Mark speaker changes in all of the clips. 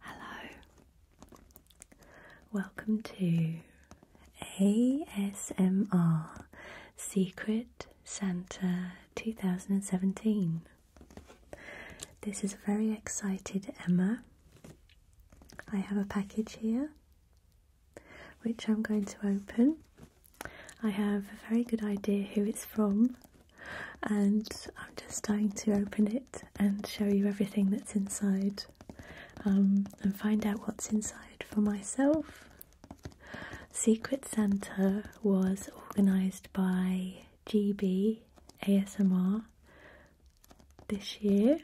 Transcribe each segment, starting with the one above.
Speaker 1: Hello, welcome to ASMR Secret Santa 2017. This is a very excited Emma. I have a package here which I'm going to open. I have a very good idea who it's from and I'm just starting to open it and show you everything that's inside um, and find out what's inside for myself. Secret Santa was organised by GB ASMR this year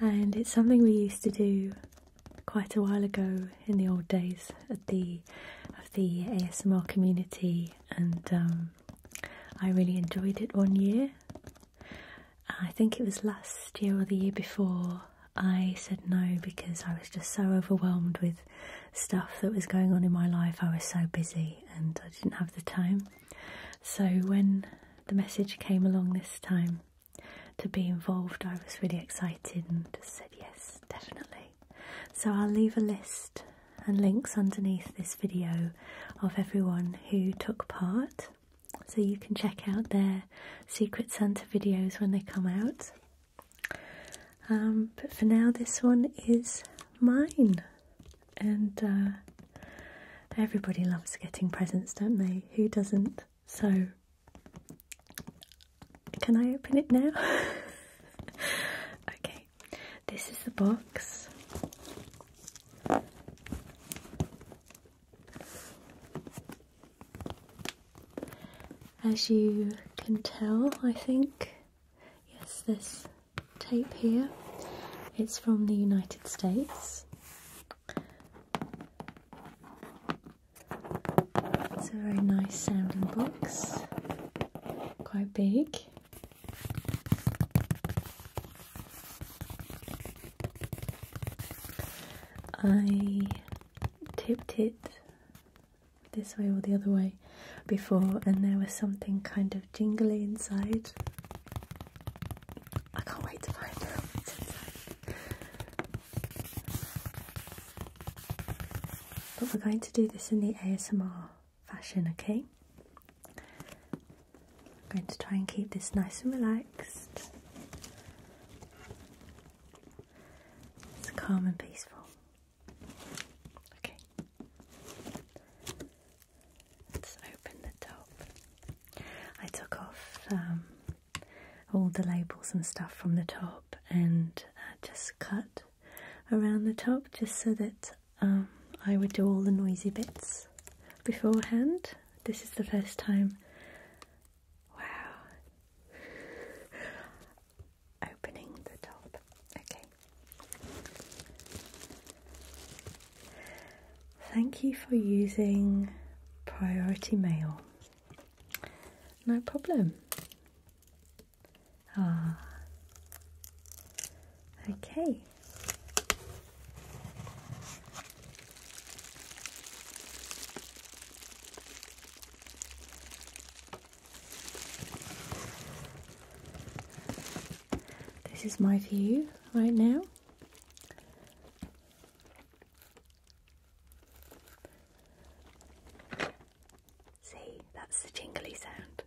Speaker 1: and it's something we used to do quite a while ago in the old days at the of the ASMR community and um, I really enjoyed it one year. I think it was last year or the year before. I said no because I was just so overwhelmed with stuff that was going on in my life. I was so busy and I didn't have the time. So when the message came along this time to be involved, I was really excited and just said yes, definitely. So I'll leave a list and links underneath this video of everyone who took part so you can check out their Secret Santa videos when they come out. Um, but for now, this one is mine. And uh, everybody loves getting presents, don't they? Who doesn't? So, can I open it now? okay, this is the box. As you can tell, I think, yes, this tape here, it's from the United States. It's a very nice sounding box, quite big. I tipped it this way or the other way before and there was something kind of jingly inside. I can't wait to find out inside. But we're going to do this in the ASMR fashion, okay? I'm going to try and keep this nice and relaxed. It's calm and peaceful. Okay. Let's open the top. I took off um, all the labels and stuff from the top and uh, just cut around the top just so that um, I would do all the noisy bits beforehand. This is the first time. Wow. Opening the top. Okay. Thank you for using Priority Mail. No problem. Ah. Okay. This is my view right now. See, that's the jingly sound.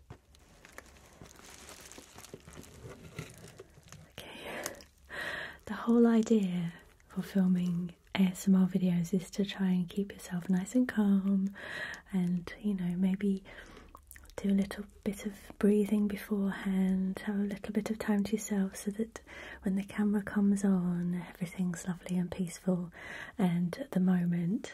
Speaker 1: Okay. the whole idea for filming ASMR videos is to try and keep yourself nice and calm and you know maybe do a little bit of breathing beforehand, have a little bit of time to yourself so that when the camera comes on everything's lovely and peaceful and the moment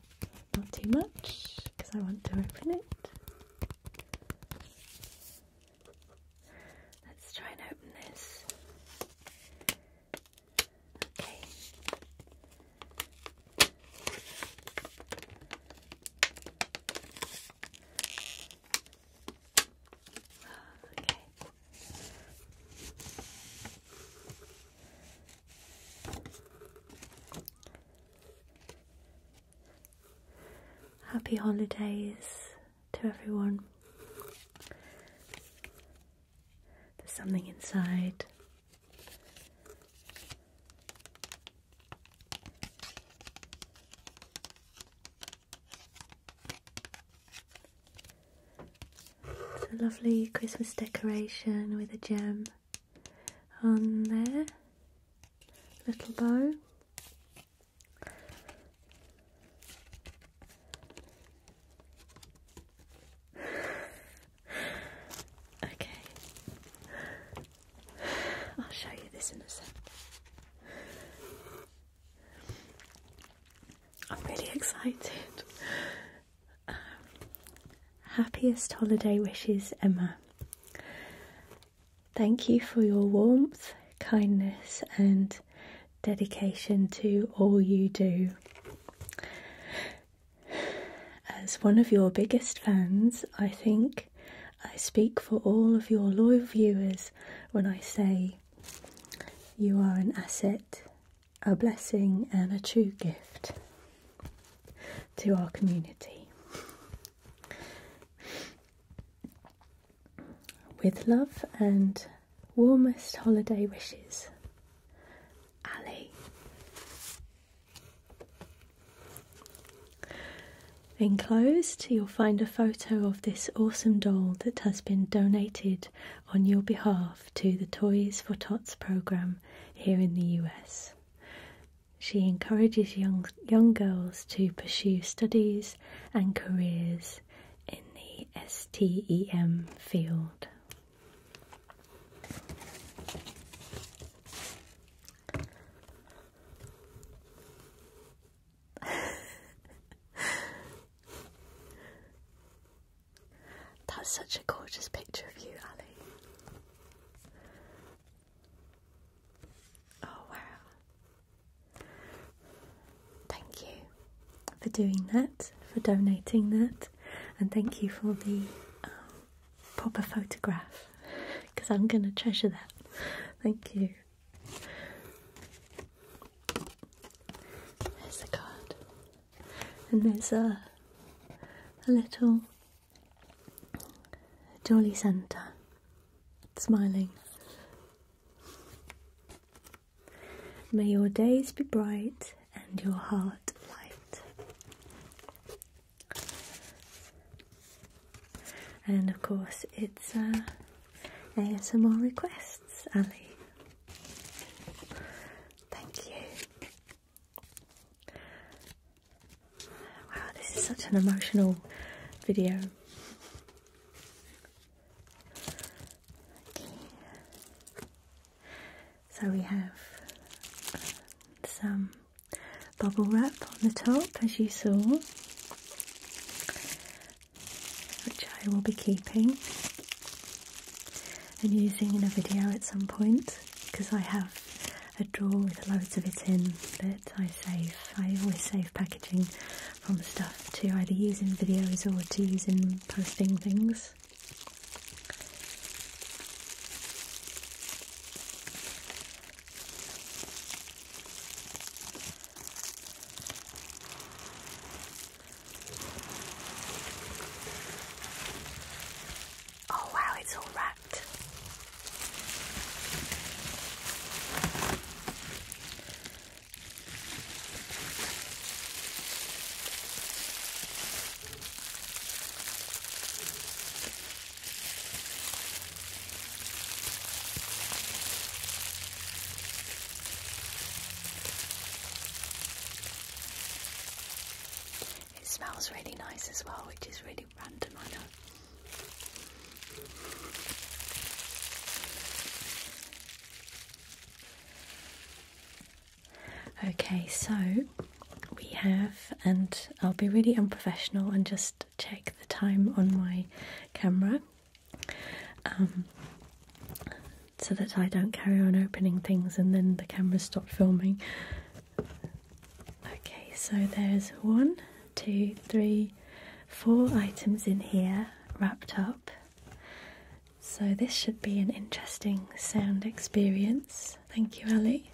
Speaker 1: Not too much, because I want to open it. Let's try and open this. Okay. Okay. Happy holidays to everyone. There's something inside. It's a lovely Christmas decoration with a gem on there, little bow. okay, I'll show you this in a second. I'm really excited. Um, happiest holiday wishes, Emma. Thank you for your warmth, kindness, and dedication to all you do. As one of your biggest fans, I think I speak for all of your loyal viewers when I say you are an asset, a blessing, and a true gift to our community. With love and warmest holiday wishes, Ali. Enclosed, you'll find a photo of this awesome doll that has been donated on your behalf to the Toys for Tots programme here in the US. She encourages young, young girls to pursue studies and careers in the STEM field. That's such a gorgeous picture of you, Ali. Oh, wow. Thank you for doing that, for donating that, and thank you for the um, proper photograph because I'm going to treasure that. Thank you. There's the card, and there's a, a little Jolly Santa, smiling. May your days be bright and your heart light. And of course, it's uh, some more requests, Ali. Thank you. Wow, this is such an emotional video. So we have uh, some bubble wrap on the top, as you saw, which I will be keeping and using in a video at some point because I have a drawer with loads of it in but I save. I always save packaging from stuff to either using videos or to using posting things. Oh wow, it's all wrapped. It smells really nice as well, which is really random, I know. Okay, so we have, and I'll be really unprofessional and just check the time on my camera um, so that I don't carry on opening things and then the camera stops filming. Okay, so there's one, two, three, four items in here wrapped up. So this should be an interesting sound experience. Thank you, Ali.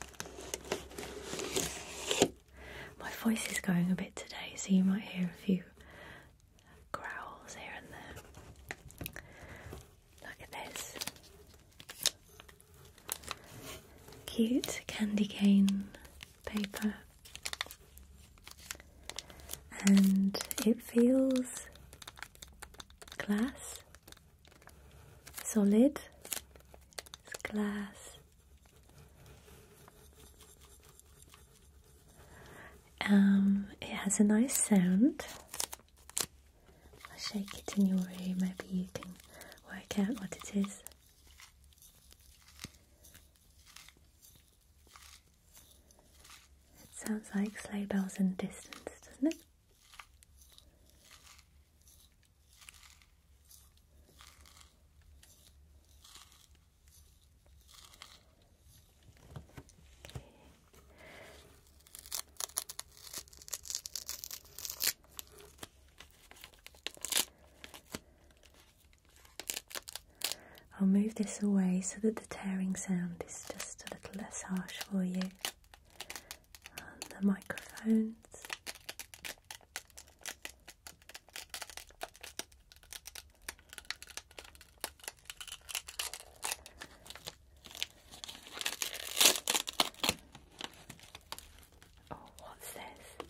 Speaker 1: My voice is going a bit today, so you might hear a few growls here and there. Look at this. Cute candy cane paper and it feels glass solid it's glass um, it has a nice sound I'll shake it in your room maybe you can work out what it is it sounds like sleigh bells in the distance, doesn't it? I'll move this away so that the tearing sound is just a little less harsh for you. the microphones. Oh, what's this?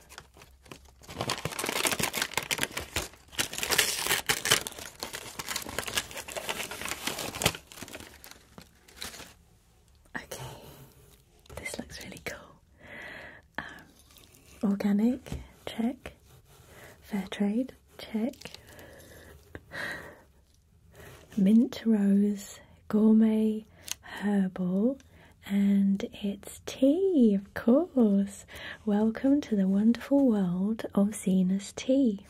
Speaker 1: Okay, this looks really cool. Um, organic, check. Fair trade, check. Mint rose, Gourmet Herbal, and it's tea, of course. Welcome to the wonderful world of Zena's Tea.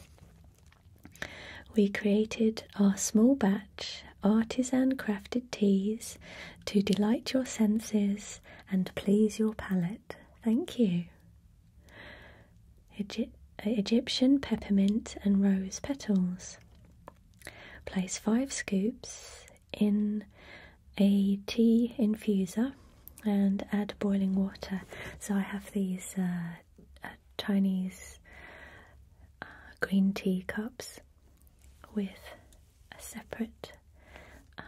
Speaker 1: We created our small batch artisan crafted teas to delight your senses and please your palate. Thank you. Egyptian peppermint and rose petals. Place five scoops in a tea infuser and add boiling water. So I have these uh, uh, Chinese uh, green tea cups with a separate um,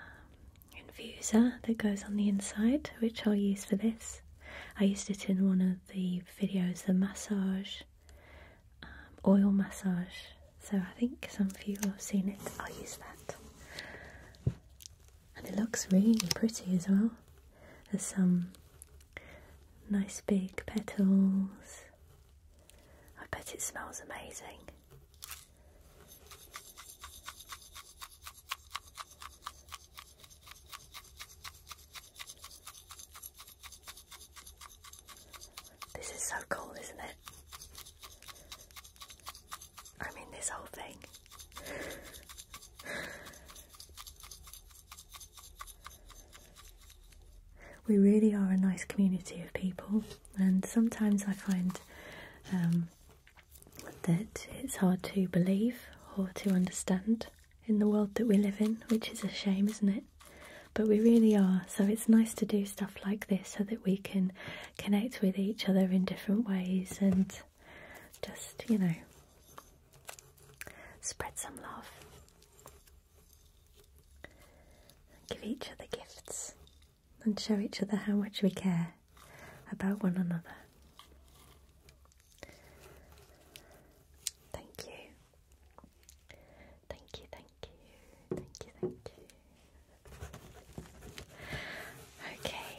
Speaker 1: infuser that goes on the inside, which I'll use for this. I used it in one of the videos, the massage um, oil massage. So I think some of you have seen it. I'll use that. And it looks really pretty as well. There's some nice big petals. I bet it smells amazing. This is so cool, isn't it? I mean, this whole thing. we really are a nice community of people, and sometimes I find um, that it's hard to believe or to understand in the world that we live in, which is a shame, isn't it? but we really are. So it's nice to do stuff like this so that we can connect with each other in different ways and just, you know, spread some love. Give each other gifts and show each other how much we care about one another. Thank you. Thank you, thank you, thank you, thank you. Okay.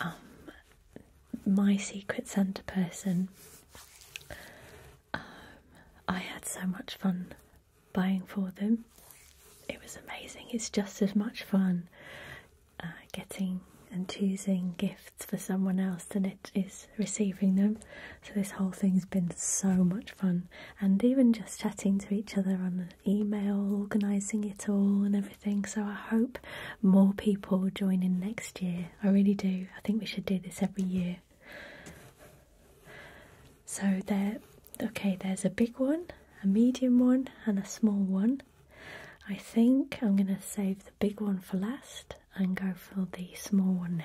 Speaker 1: Um, my secret Santa person. Um, I had so much fun buying for them. It was amazing. It's just as much fun uh, getting and choosing gifts for someone else than it is receiving them. So this whole thing's been so much fun, and even just chatting to each other on email, organising it all and everything. So I hope more people join in next year. I really do. I think we should do this every year. So there, okay. There's a big one, a medium one, and a small one. I think I'm going to save the big one for last and go for the small one now.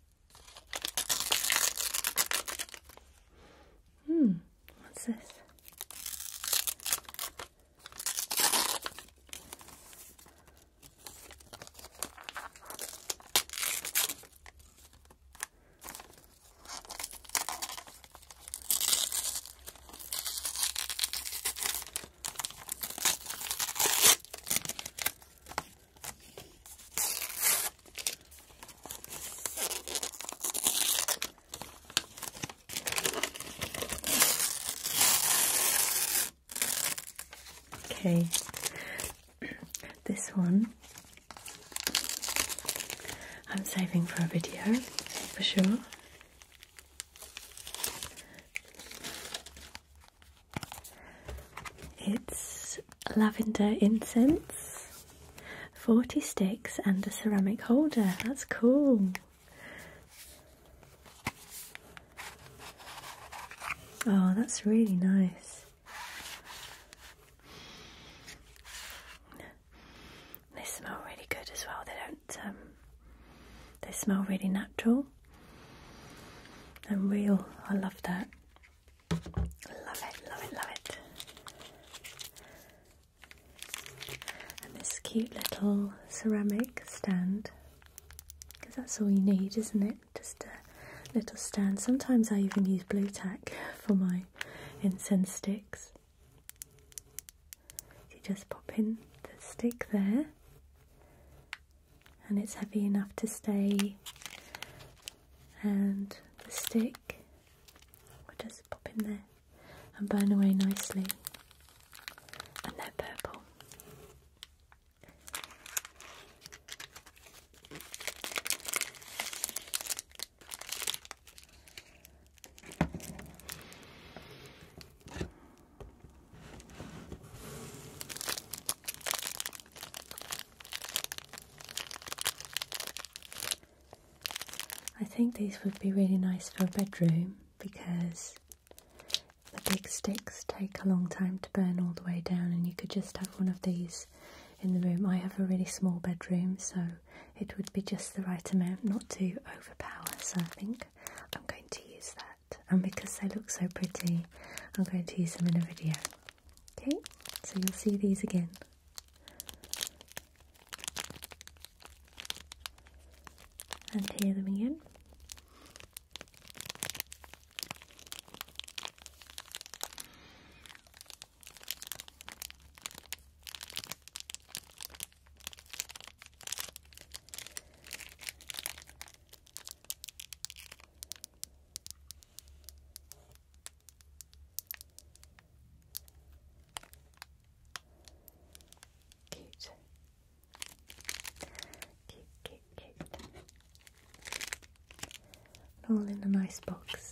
Speaker 1: Hmm, what's this? Okay, this one I'm saving for a video for sure. It's lavender incense, 40 sticks, and a ceramic holder. That's cool. Oh, that's really nice. They smell really good as well. They don't, um, they smell really natural and real. I love that. Love it, love it, love it. And this cute little ceramic stand, because that's all you need, isn't it? Just a little stand. Sometimes I even use blue tack for my incense sticks. You just pop in the stick there and it's heavy enough to stay and the stick will just pop in there and burn away nicely and they're purple I think these would be really nice for a bedroom because the big sticks take a long time to burn all the way down and you could just have one of these in the room. I have a really small bedroom so it would be just the right amount not to overpower so I think I'm going to use that. And because they look so pretty, I'm going to use them in a video. Okay, so you'll see these again. And hear them again. Cute. Cute, cute, cute. All in a nice box.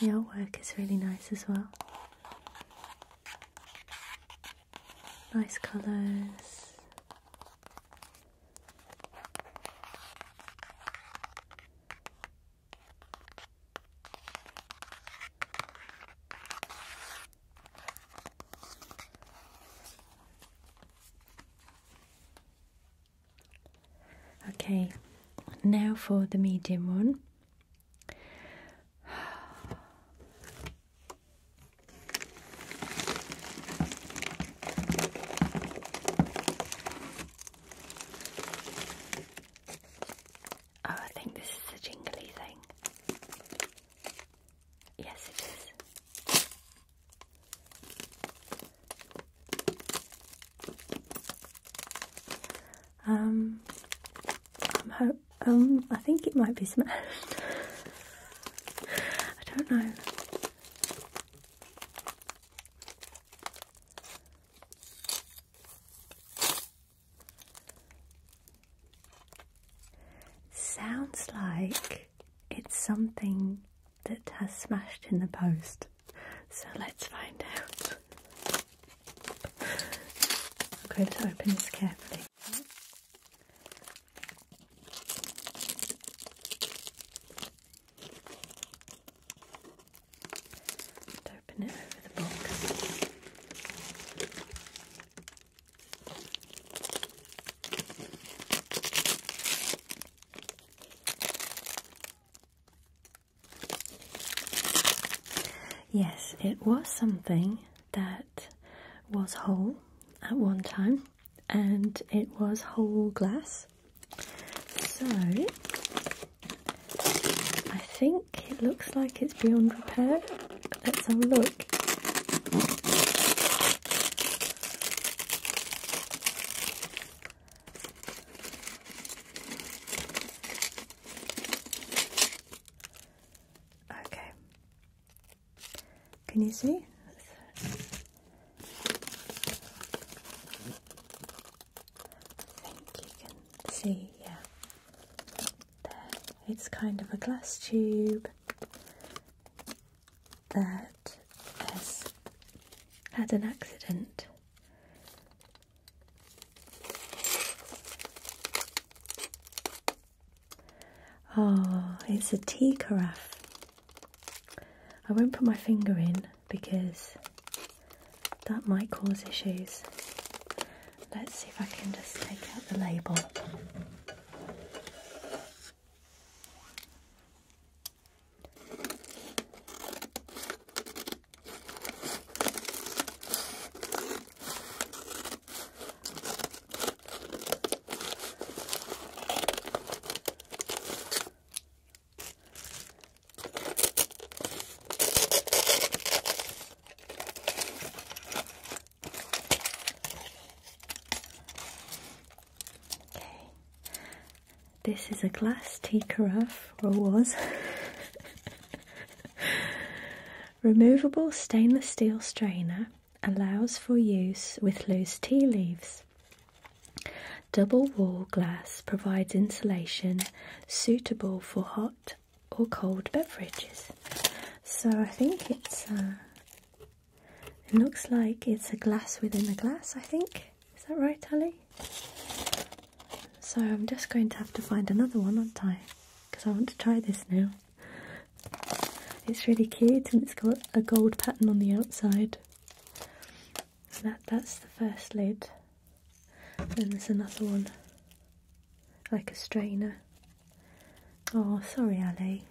Speaker 1: The artwork is really nice as well. Nice colours. Okay, now for the medium one. Oh, I think this is a jingly thing. Yes, it is. Um, I'm ho um, I think it might be smashed. I don't know. Sounds like it's something that has smashed in the post. So let's find out. Okay, let's open this carefully. open it over the box. Yes, it was something that was whole at one time and it was whole glass. So I think it looks like it's beyond repair. Let's have a look. Okay. Can you see? I think you can see, yeah. There. It's kind of a glass tube that has had an accident Oh, it's a tea carafe. I won't put my finger in because that might cause issues. Let's see if I can just take out the label. This is a glass tea carafe, or was. Removable stainless steel strainer allows for use with loose tea leaves. Double wall glass provides insulation suitable for hot or cold beverages. So I think it's uh, it looks like it's a glass within a glass, I think. Is that right, Ali? So I'm just going to have to find another one, aren't I? Because I want to try this now. It's really cute and it's got a gold pattern on the outside. that, that's the first lid. Then there's another one, like a strainer. Oh, sorry, Ali.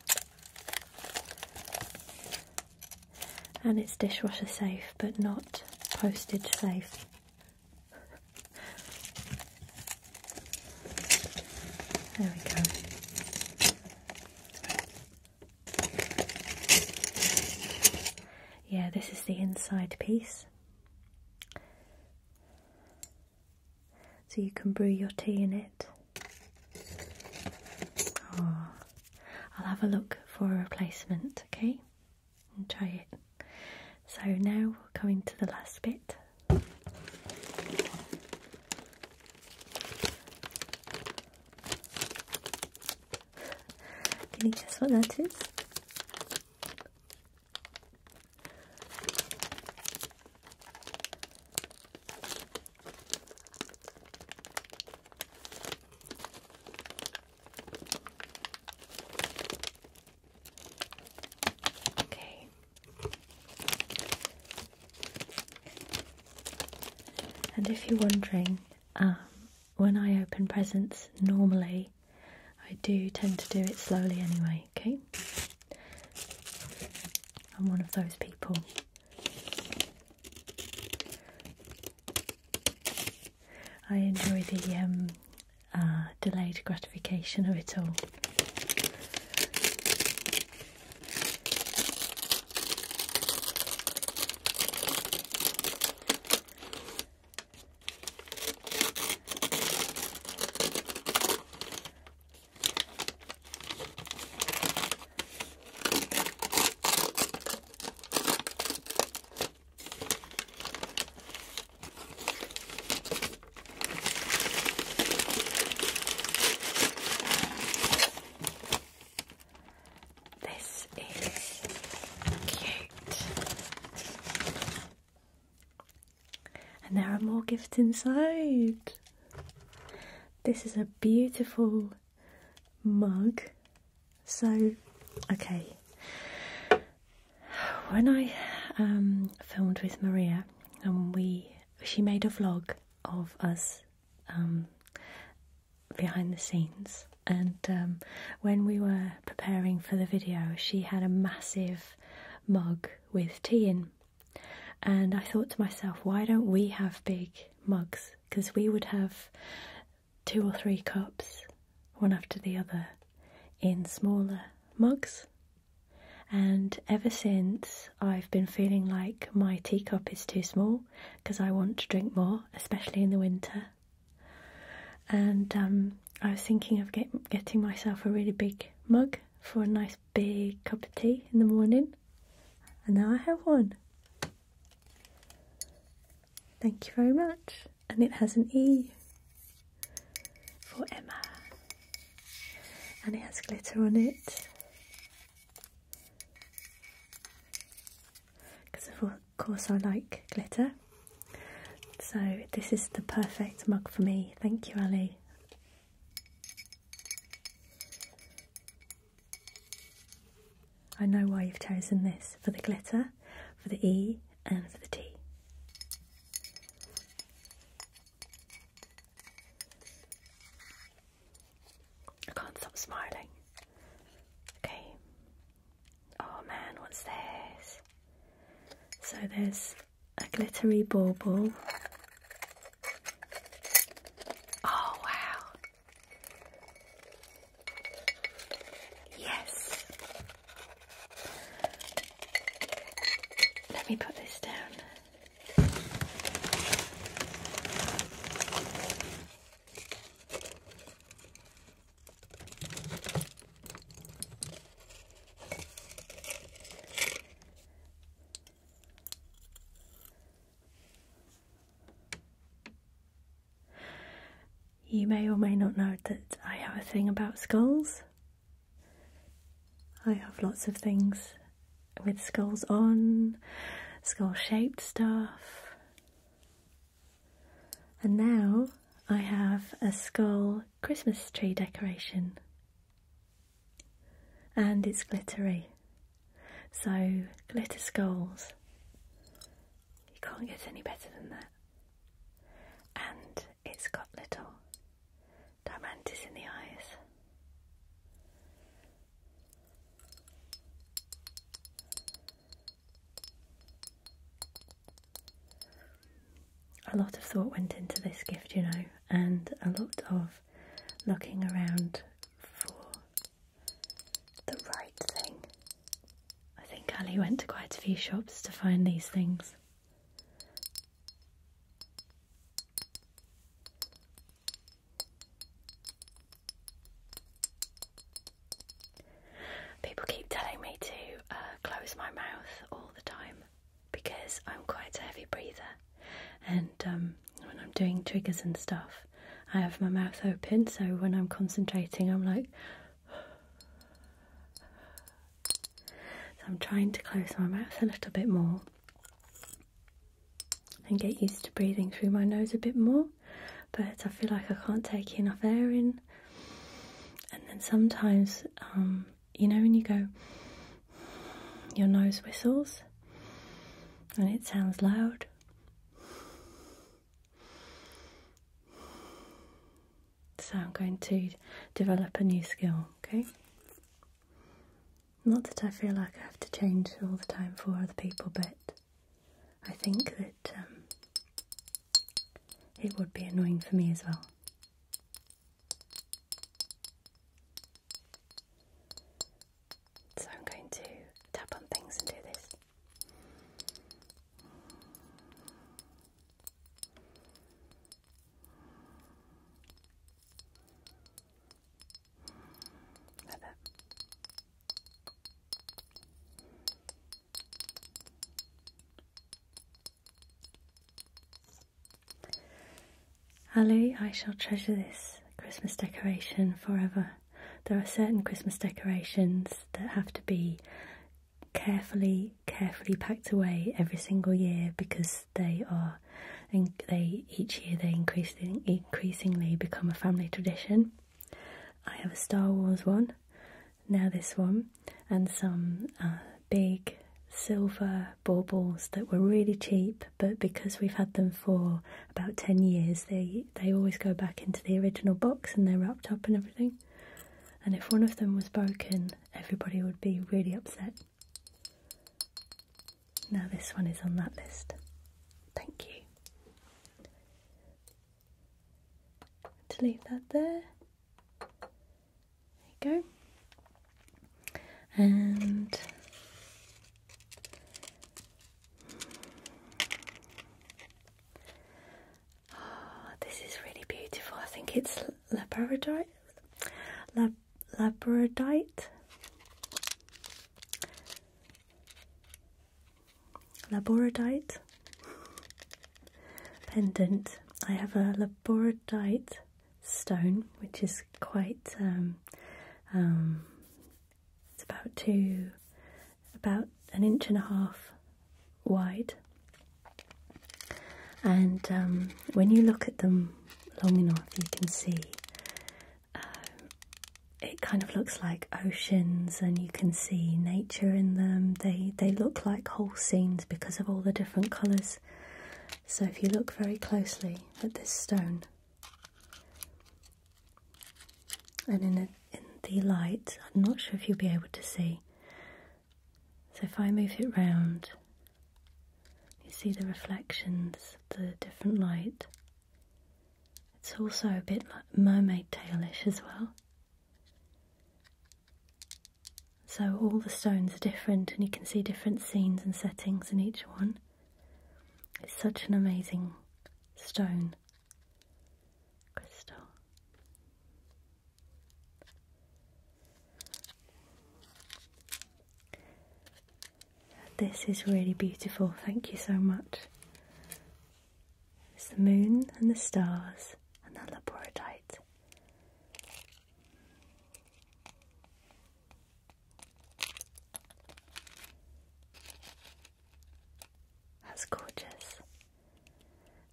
Speaker 1: And it's dishwasher safe, but not postage safe. There we go. Yeah, this is the inside piece. So you can brew your tea in it. Ah, I'll have a look for a replacement, okay? and try it. So now we're coming to the last bit. Can you guess what that is? Okay. And if you're wondering, um, when I open presents normally, I do tend to do it slowly anyway, okay? I'm one of those people. I enjoy the um, uh, delayed gratification of it all. This is cute. And there are more gifts inside. This is a beautiful mug. So, okay, when I um, filmed with Maria, and um, we she made a vlog of us um, behind the scenes, and when we were preparing for the video, she had a massive mug with tea in, and I thought to myself, why don't we have big mugs? Because we would have two or three cups, one after the other, in smaller mugs and ever since, I've been feeling like my teacup is too small because I want to drink more, especially in the winter. And um, I was thinking of getting myself a really big mug for a nice big cup of tea in the morning. And now I have one. Thank you very much. And it has an E for Emma. And it has glitter on it. Because of course I like glitter. So this is the perfect mug for me. Thank you, Ali. I know why you've chosen this, for the glitter, for the E and for the T. I can't stop smiling. Okay. Oh man, what's this? So there's a glittery bauble. Oh wow. Yes. Let me put this down. You may or may not know that I have a thing about skulls. I have lots of things with skulls on, skull shaped stuff. And now I have a skull Christmas tree decoration. And it's glittery. So, glitter skulls. You can't get any better than that. And it's got little diamantes in the eyes. A lot of thought went into this gift, you know, and a lot of looking around for the right thing. I think Ali went to quite a few shops to find these things. People keep telling me to uh, close my mouth all the time because I'm quite a heavy breather, and um, when I'm doing triggers and stuff, I have my mouth open. So when I'm concentrating, I'm like, so I'm trying to close my mouth a little bit more and get used to breathing through my nose a bit more, but I feel like I can't take enough air in. And then sometimes, um, you know, when you go, your nose whistles and it sounds loud. So I'm going to develop a new skill, okay? Not that I feel like I have to change all the time for other people, but I think that um, it would be annoying for me as well. So I'm going to tap on things and do this. Love I shall treasure this Christmas decoration forever. There are certain Christmas decorations that have to be carefully, carefully packed away every single year because they are, and they each year they increasing, increasingly become a family tradition. I have a Star Wars one, now this one, and some uh, big silver baubles that were really cheap but because we've had them for about 10 years they they always go back into the original box and they're wrapped up and everything and if one of them was broken everybody would be really upset now, this one is on that list. Thank you. To leave that there. There you go. And oh, this is really beautiful. I think it's labradorite. Lab labradorite. Labradorite pendant. I have a Labradorite stone, which is quite. Um, um, it's about two, about an inch and a half wide, and um, when you look at them long enough, you can see uh, it kind of looks like oceans, and you can see nature in them. They they look like whole scenes because of all the different colours. So if you look very closely at this stone, and in a, in the light, I'm not sure if you'll be able to see. So if I move it round, you see the reflections the different light. It's also a bit like mermaid tailish as well. So all the stones are different and you can see different scenes and settings in each one. It's such an amazing stone crystal. This is really beautiful, thank you so much. It's the moon and the stars and the labradorite. That's gorgeous.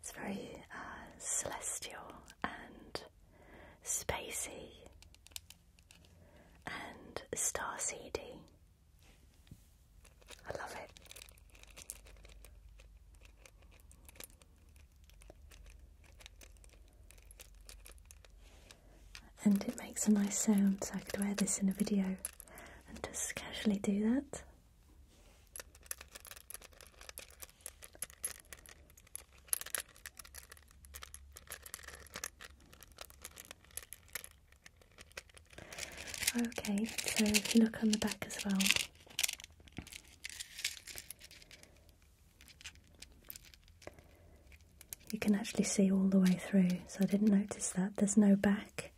Speaker 1: It's very uh, celestial and spacey, and starseedy. I love it. And it makes a nice sound, so I could wear this in a video and just casually do that. Okay, so if you look on the back as well. You can actually see all the way through, so I didn't notice that. There's no back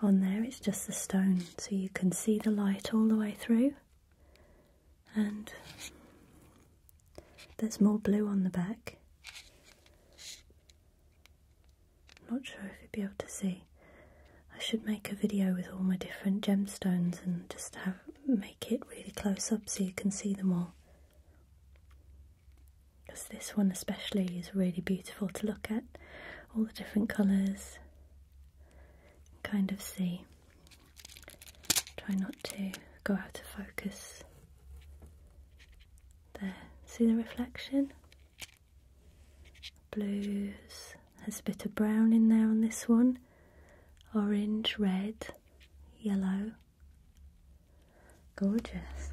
Speaker 1: on there, it's just the stone, so you can see the light all the way through and there's more blue on the back. Not sure if you would be able to see. I should make a video with all my different gemstones and just have make it really close up so you can see them all. Because this one especially is really beautiful to look at. All the different colours. Kind of see. Try not to go out of focus. There, see the reflection? Blues, there's a bit of brown in there on this one. Orange, red, yellow. Gorgeous.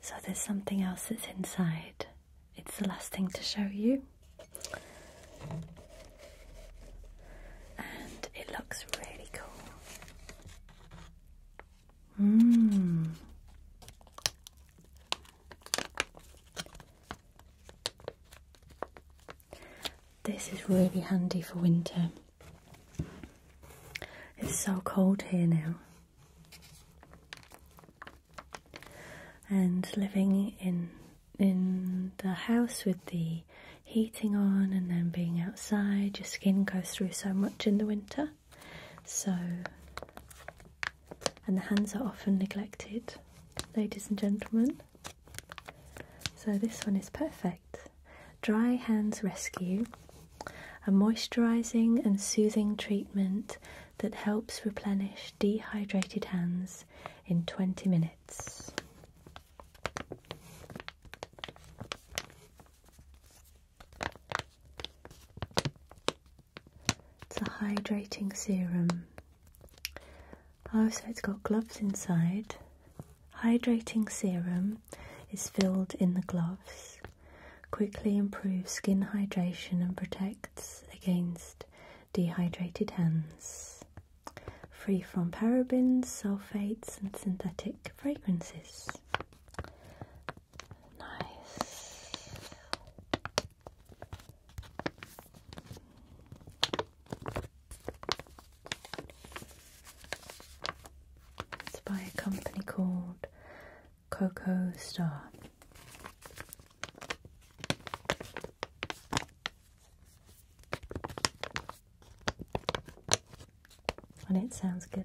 Speaker 1: So there's something else that's inside. It's the last thing to show you. And it looks really cool. Mmm. This is really handy for winter. It's so cold here now. And living in in the house with the heating on and then being outside, your skin goes through so much in the winter. So and the hands are often neglected, ladies and gentlemen. So this one is perfect. Dry Hands Rescue, a moisturizing and soothing treatment that helps replenish dehydrated hands in 20 minutes. It's a hydrating serum. Oh, so it's got gloves inside. Hydrating serum is filled in the gloves, quickly improves skin hydration and protects against dehydrated hands. Free from parabens, sulfates, and synthetic fragrances. Nice. It's by a company called Coco Star. And it sounds good.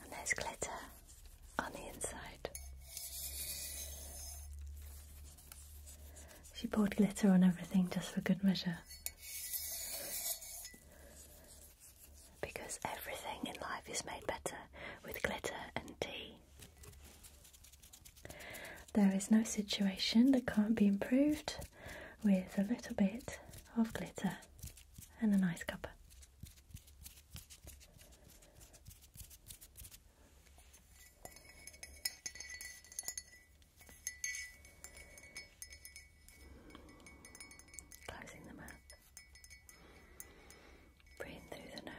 Speaker 1: And there's glitter on the inside. She poured glitter on everything just for good measure because everything in life is made better with glitter and tea. There is no situation that can't be improved with a little bit of glitter and a nice cuppa. Closing the mouth. Breathe through the nose.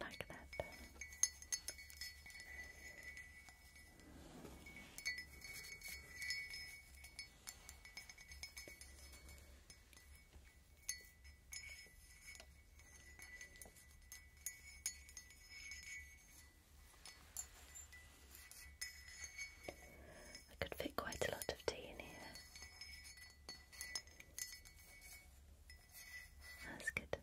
Speaker 1: Like that. I could fit quite a lot of tea in here. That's good.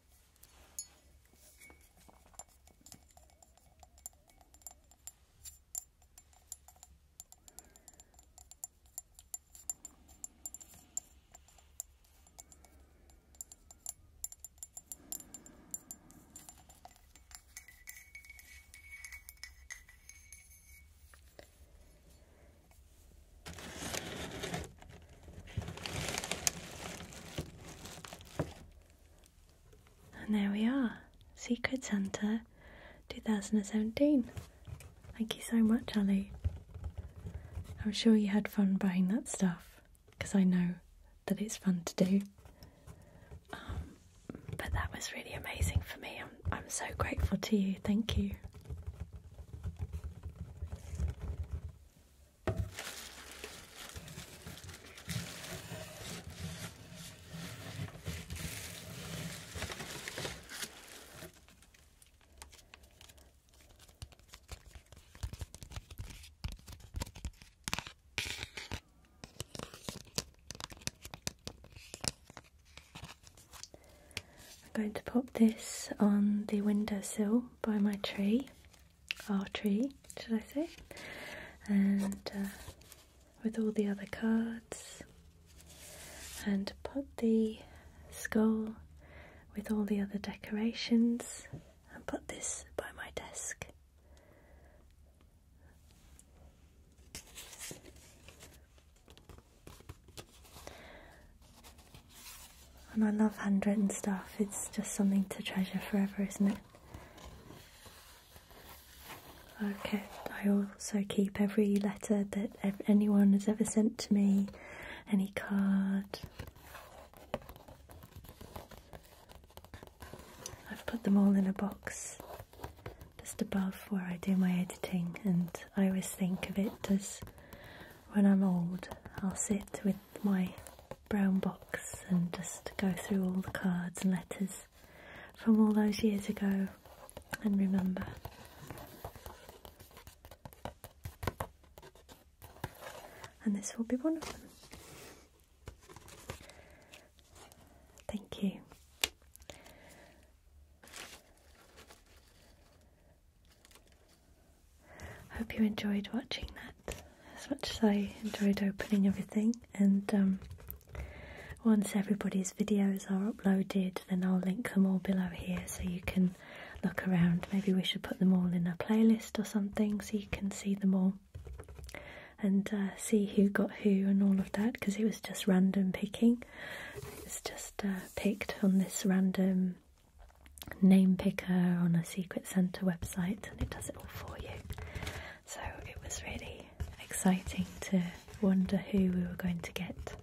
Speaker 1: And there we are, Secret Santa 2017. Thank you so much, Ali. I'm sure you had fun buying that stuff because I know that it's fun to do. Um, but that was really amazing for me. I'm, I'm so grateful to you. Thank you. I'm going to pop this on the windowsill by my tree, our tree, should I say, and uh, with all the other cards, and put the skull with all the other decorations and put this by my desk. And I love handwritten stuff, it's just something to treasure forever, isn't it? Okay, I also keep every letter that anyone has ever sent to me, any card. I've put them all in a box just above where I do my editing, and I always think of it as when I'm old, I'll sit with my brown box and just go through all the cards and letters from all those years ago and remember. And this will be one of them. Thank you. I Hope you enjoyed watching that as much as I enjoyed opening everything. And um, once everybody's videos are uploaded, then I'll link them all below here so you can look around. Maybe we should put them all in a playlist or something so you can see them all and uh, see who got who and all of that because it was just random picking. It was just uh, picked on this random name picker on a Secret centre website and it does it all for you. So it was really exciting to wonder who we were going to get,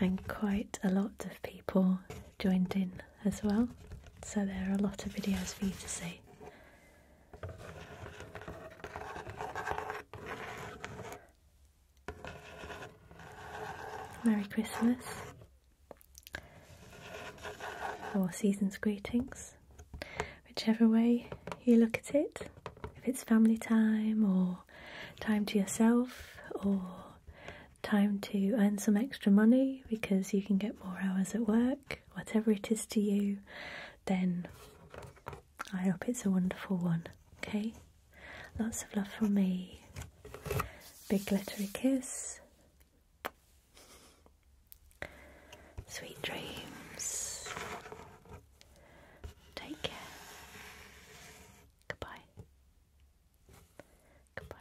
Speaker 1: and quite a lot of people joined in as well, so there are a lot of videos for you to see. Merry Christmas or season's greetings, whichever way you look at it. If it's family time or time to yourself or time to earn some extra money because you can get more hours at work whatever it is to you, then I hope it's a wonderful one. Okay? Lots of love from me. Big glittery kiss. Sweet dreams. Take care. Goodbye. Goodbye.